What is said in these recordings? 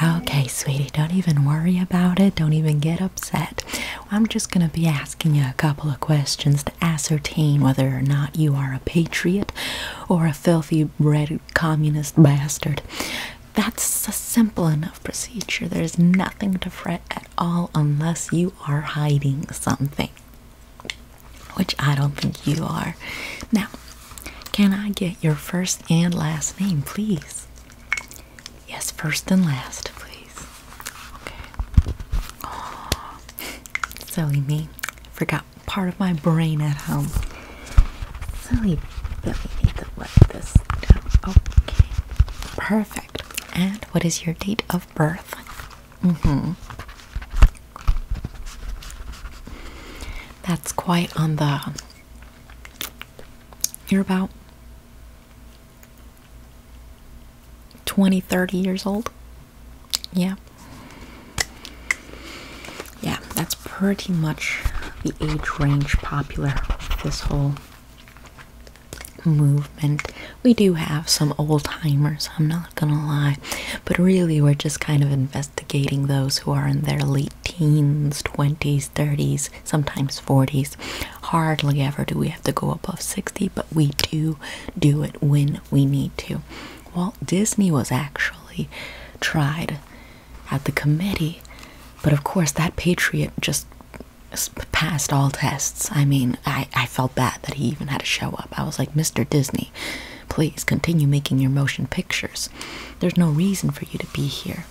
Okay, sweetie, don't even worry about it. Don't even get upset. I'm just going to be asking you a couple of questions to ascertain whether or not you are a patriot or a filthy red communist bastard. That's a simple enough procedure. There's nothing to fret at all unless you are hiding something which I don't think you are. Now, can I get your first and last name, please? Yes, first and last, please. Okay. silly me. Forgot part of my brain at home. Silly Billy, need to let this down. Okay. Perfect. And what is your date of birth? Mm-hmm. That's quite on the you're about 20 30 years old yeah yeah that's pretty much the age range popular with this whole movement we do have some old timers, I'm not gonna lie, but really we're just kind of investigating those who are in their late teens, 20s, 30s, sometimes 40s. Hardly ever do we have to go above 60, but we do do it when we need to. Walt Disney was actually tried at the committee, but of course, that patriot just passed all tests. I mean, I, I felt bad that he even had to show up. I was like, Mr. Disney. Please continue making your motion pictures. There's no reason for you to be here.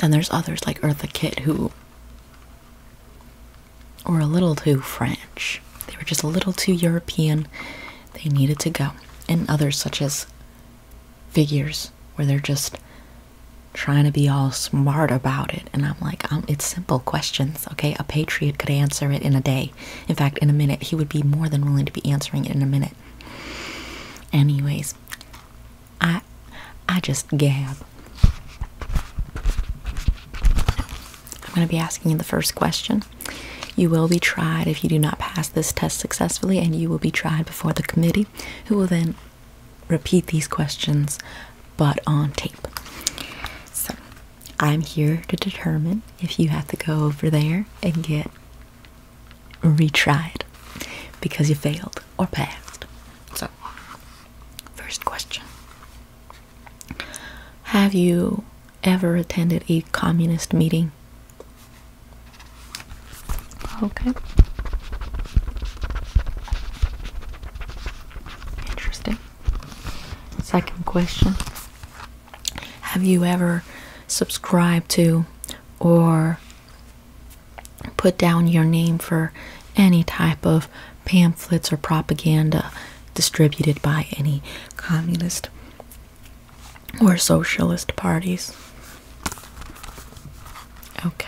Then there's others like Eartha Kitt who were a little too French. They were just a little too European. They needed to go. And others such as figures where they're just trying to be all smart about it and i'm like um, it's simple questions. Okay, a patriot could answer it in a day. In fact, in a minute, he would be more than willing to be answering it in a minute. Anyways, I I just gab. I'm going to be asking you the first question. You will be tried if you do not pass this test successfully, and you will be tried before the committee, who will then repeat these questions but on tape. So, I'm here to determine if you have to go over there and get retried because you failed or passed. So, first question Have you ever attended a communist meeting? Okay. Interesting. Second question have you ever subscribed to or put down your name for any type of pamphlets or propaganda distributed by any communist or socialist parties? Okay.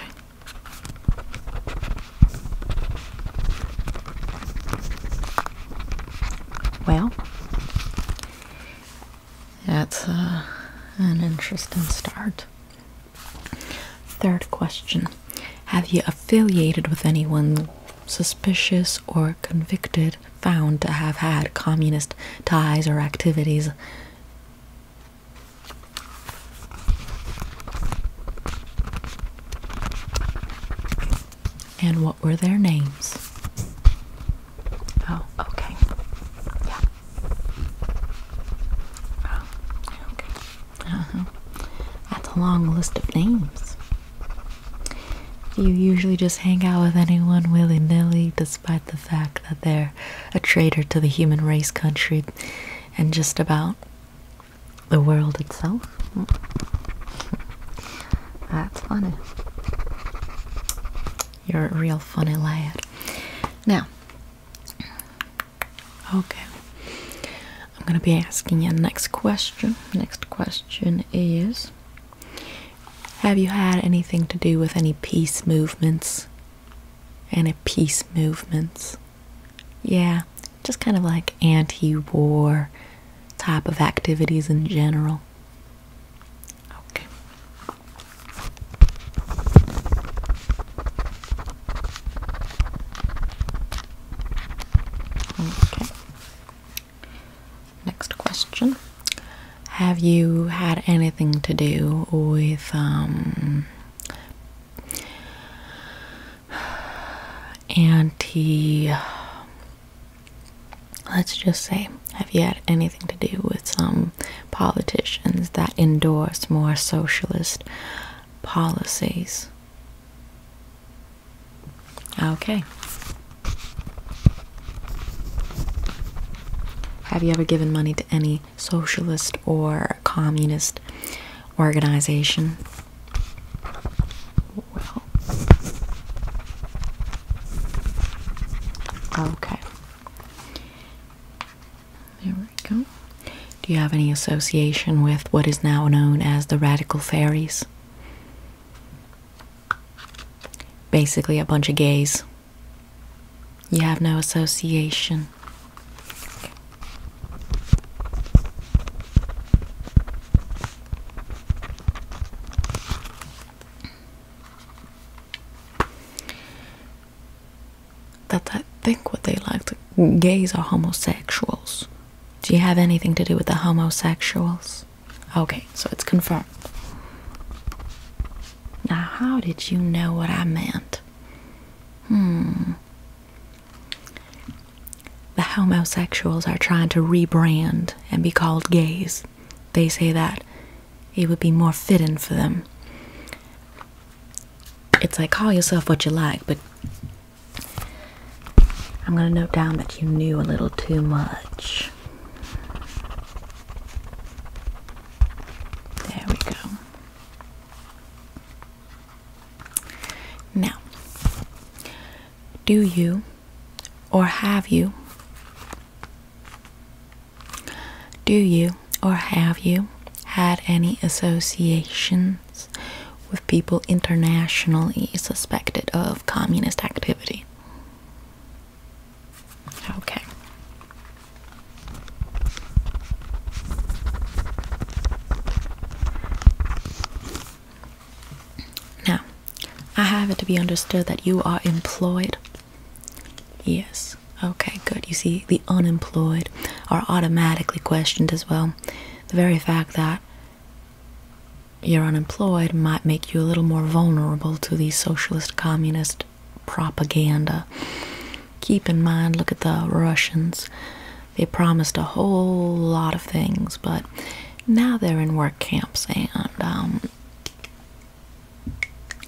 Well, that's uh, an interesting start. Third question Have you affiliated with anyone suspicious or convicted found to have had communist ties or activities? And what were their names? Oh, okay. Yeah. Oh, okay. Uh-huh. That's a long list of names. you usually just hang out with anyone willy-nilly despite the fact that they're a traitor to the human race country and just about the world itself. That's funny. You're a real funny lad. Now, okay. I'm going to be asking you next question. Next question is Have you had anything to do with any peace movements? Any peace movements? Yeah, just kind of like anti war, type of activities in general. Okay. Okay. Next question. Have you had anything to do with um anti let's just say, have you had anything to do with some politicians that endorse more socialist policies? Okay. Have you ever given money to any socialist or communist organization? Well. Okay. There we go. Do you have any association with what is now known as the Radical Fairies? Basically, a bunch of gays. You have no association. That I think what they like to gays are homosexuals. Do you have anything to do with the homosexuals? Okay, so it's confirmed. Now, how did you know what I meant? Hmm the homosexuals are trying to rebrand and be called gays. They say that it would be more fitting for them. It's like call yourself what you like, but I'm going to note down that you knew a little too much. There we go. Now, do you or have you? Do you or have you had any associations with people internationally suspected of communist activity? Okay. Now, I have it to be understood that you are employed. Yes. Okay, good. You see, the unemployed are automatically questioned as well. The very fact that you're unemployed might make you a little more vulnerable to the socialist communist propaganda. Keep in mind, look at the Russians. They promised a whole lot of things, but now they're in work camps and um,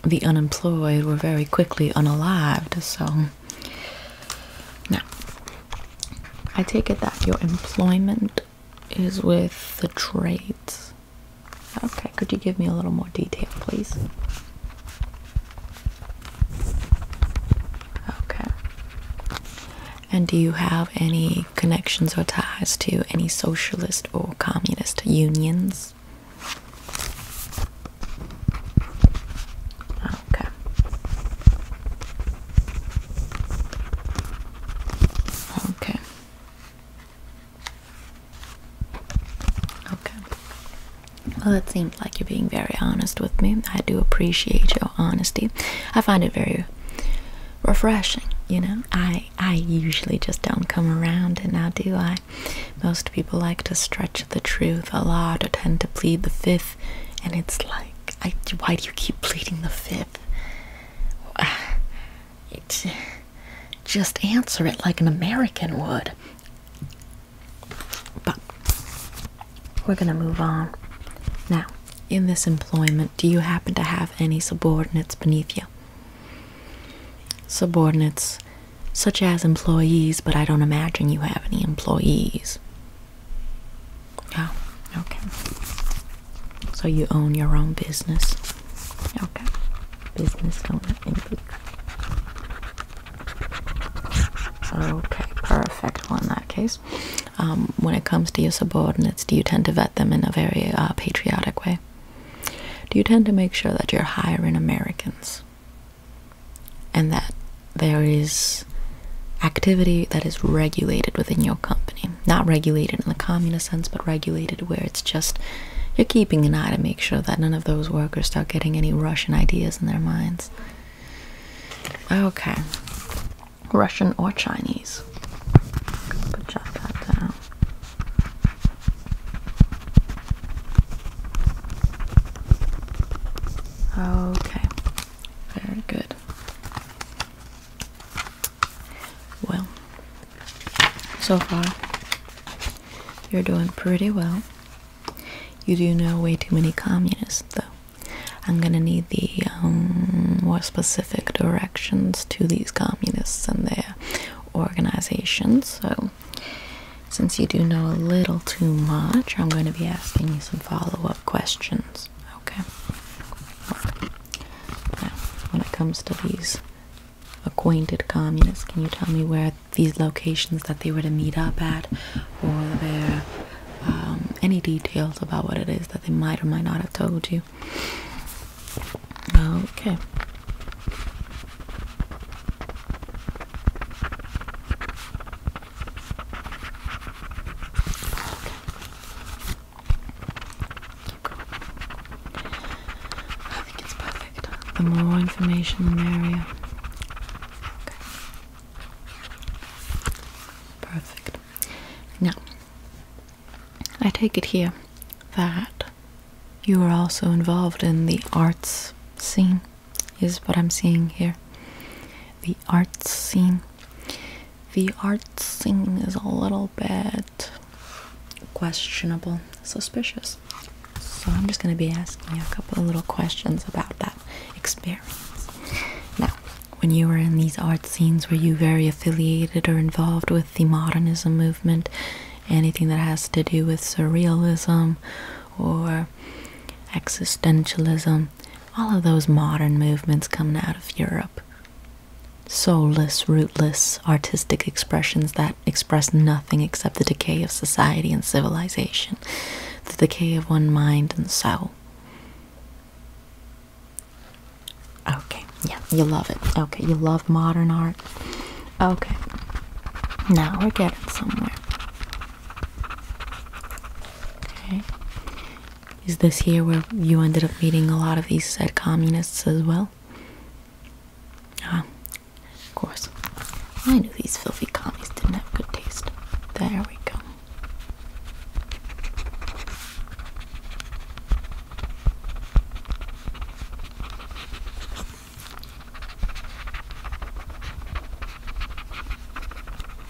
the unemployed were very quickly unalived so now i take it that your employment is with the trades okay could you give me a little more detail please okay and do you have any connections or ties to any socialist or communist unions? Okay. Okay. Okay. Well, it seems like you're being very honest with me. I do appreciate your honesty. I find it very refreshing you know i i usually just don't come around and I do i most people like to stretch the truth a lot or tend to plead the fifth and it's like I, why do you keep pleading the fifth it, just answer it like an american would but we're gonna move on now in this employment, do you happen to have any subordinates beneath you? Subordinates, such as employees, but I don't imagine you have any employees. Oh, okay. So you own your own business. Okay. Business owner Okay, perfect. in that case, um, when it comes to your subordinates, do you tend to vet them in a very uh, patriotic way? Do you tend to make sure that you're hiring Americans and that there is activity that is regulated within your company? Not regulated in the communist sense, but regulated where it's just you're keeping an eye to make sure that none of those workers start getting any Russian ideas in their minds. Okay. Russian or Chinese. Okay, very good. Well, so far you're doing pretty well. You do know way too many communists, though. I'm gonna need the um, more specific directions to these communists and their organizations. So, since you do know a little too much, I'm going to be asking you some follow up questions. Okay. Now, when it comes to these acquainted communists, can you tell me where these locations that they were to meet up at, or their um, any details about what it is that they might or might not have told you? Okay. I think it's perfect. The more information, the merrier. Perfect. Now, I take it here that you are also involved in the arts scene, is what I'm seeing here. The arts scene. The arts scene is a little bit questionable, suspicious. So I'm just going to be asking you a couple of little questions about that experience. Now, when you were in these art scenes, were you very affiliated or involved with the modernism movement, anything that has to do with surrealism or existentialism, all of those modern movements coming out of Europe. Soulless, rootless, artistic expressions that express nothing except the decay of society and civilization, the decay of one mind and soul. Okay, yeah, you love it. Okay, you love modern art. Okay, now we're getting somewhere. Okay, is this here where you ended up meeting a lot of these said communists as well? Ah, of course. I knew these filthy commies didn't have good taste. There we go.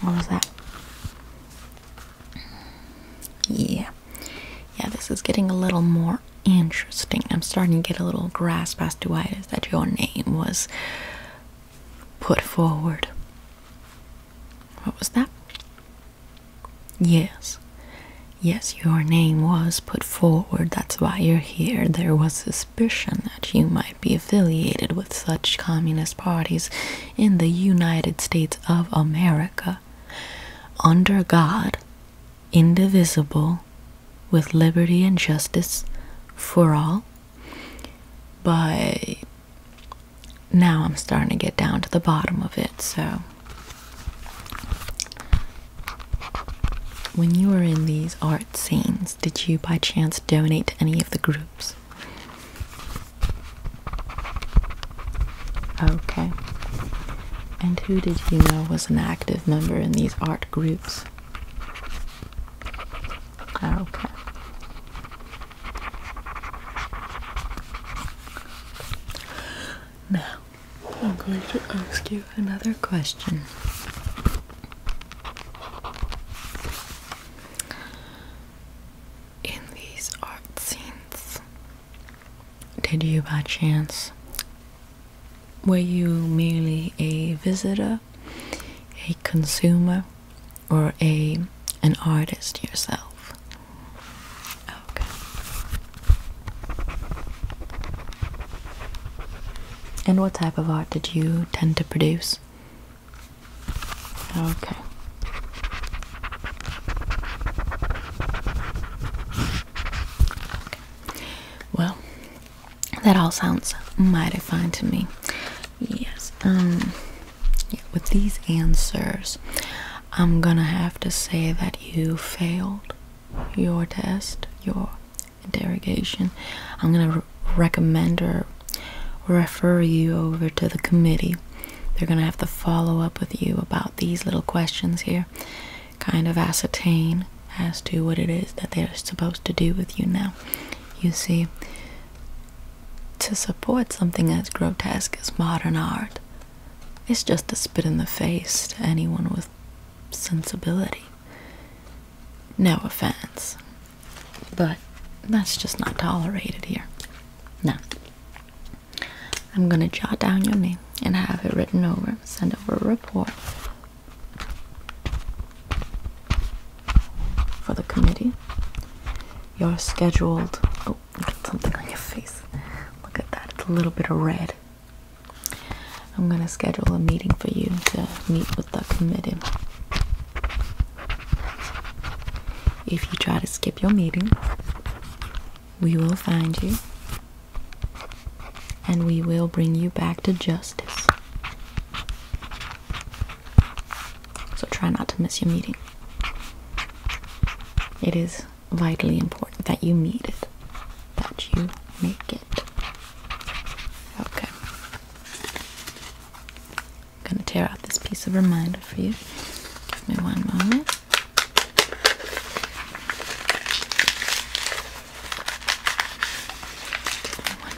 What was that? Yeah. Yeah, this is getting a little more interesting. I'm starting to get a little grasp as to why it is that your name was put forward. What was that? Yes, yes, your name was put forward, that's why you're here. There was suspicion that you might be affiliated with such communist parties in the United States of America. Under God, indivisible, with liberty and justice for all. But now I'm starting to get down to the bottom of it, so when you were in these art scenes, did you by chance donate to any of the groups? Okay. And who did you know was an active member in these art groups? Okay. Now, I'm going to ask you another question. In these art scenes, did you by chance, were you merely a visitor, a consumer, or a an artist yourself? Okay. And what type of art did you tend to produce? Okay. Well, that all sounds mighty fine to me. Yes. Um with these answers, I'm gonna have to say that you failed your test, your interrogation. I'm gonna recommend or refer you over to the committee. They're gonna have to follow up with you about these little questions here, kind of ascertain as to what it is that they're supposed to do with you now. You see, to support something as grotesque as modern art, it's just a spit in the face to anyone with sensibility. No offense, but that's just not tolerated here. Now, I'm going to jot down your name and have it written over, send over a report for the committee. You're scheduled oh, Oh, got something on your face. Look at that. It's a little bit of red. I'm gonna schedule a meeting for you to meet with the committee. If you try to skip your meeting, we will find you and we will bring you back to justice. So try not to miss your meeting. It is vitally important that you meet it, that you make it. Okay. I'm gonna tear out this piece of reminder for you. Give me one moment. Give me one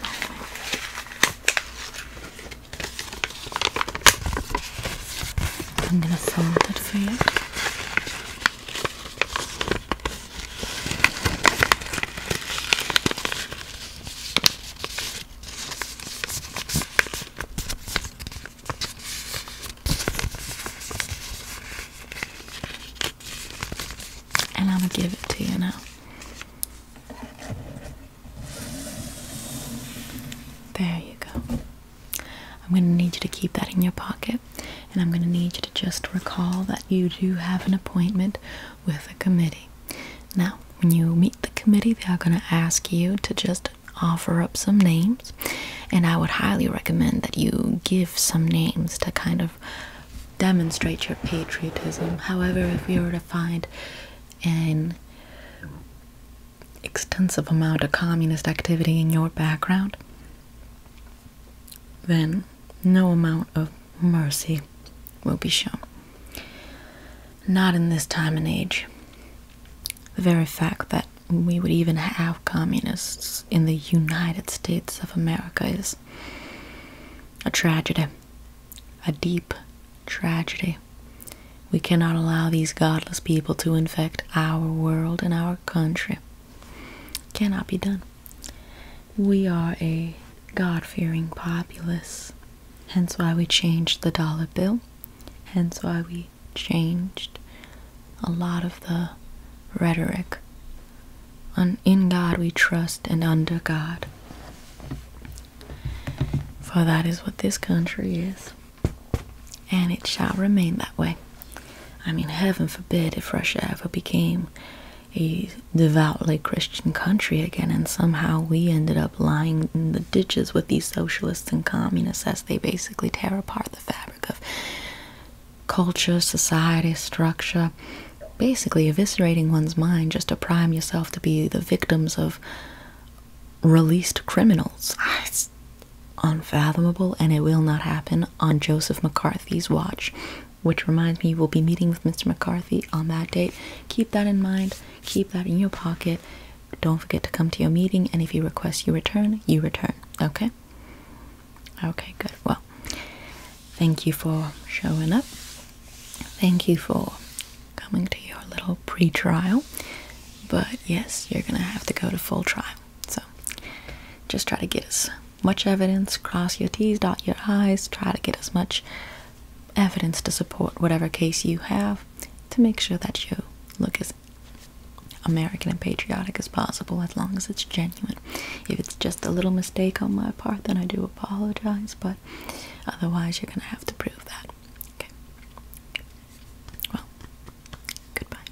moment. I'm gonna fold it for you. And I'm gonna give it to you now. There you go. I'm going to need you to keep that in your pocket, and I'm going to need you to just recall that you do have an appointment with a committee. Now, when you meet the committee, they are going to ask you to just offer up some names, and I would highly recommend that you give some names to kind of demonstrate your patriotism. However, if you were to find an extensive amount of communist activity in your background, then no amount of mercy will be shown. Not in this time and age. The very fact that we would even have communists in the United States of America is a tragedy, a deep tragedy. We cannot allow these godless people to infect our world and our country cannot be done. We are a God fearing populace, hence why we changed the dollar bill, hence why we changed a lot of the rhetoric. On, in God we trust, and under God. For that is what this country is and it shall remain that way. I mean, heaven forbid if Russia ever became a devoutly Christian country again, and somehow we ended up lying in the ditches with these socialists and communists as they basically tear apart the fabric of culture, society, structure, basically eviscerating one's mind just to prime yourself to be the victims of released criminals. unfathomable and it will not happen on Joseph McCarthy's watch. Which reminds me, we'll be meeting with Mr. McCarthy on that date. Keep that in mind, keep that in your pocket. Don't forget to come to your meeting, and if you request you return, you return. Okay? Okay, good. Well, thank you for showing up. Thank you for coming to your little pre trial. But yes, you're gonna have to go to full trial so just try to get as much evidence, cross your T's, dot your I's, try to get as much evidence to support whatever case you have to make sure that you look as American and patriotic as possible as long as it's genuine. If it's just a little mistake on my part, then I do apologize, but otherwise, you're gonna have to prove that. Okay. Well, goodbye.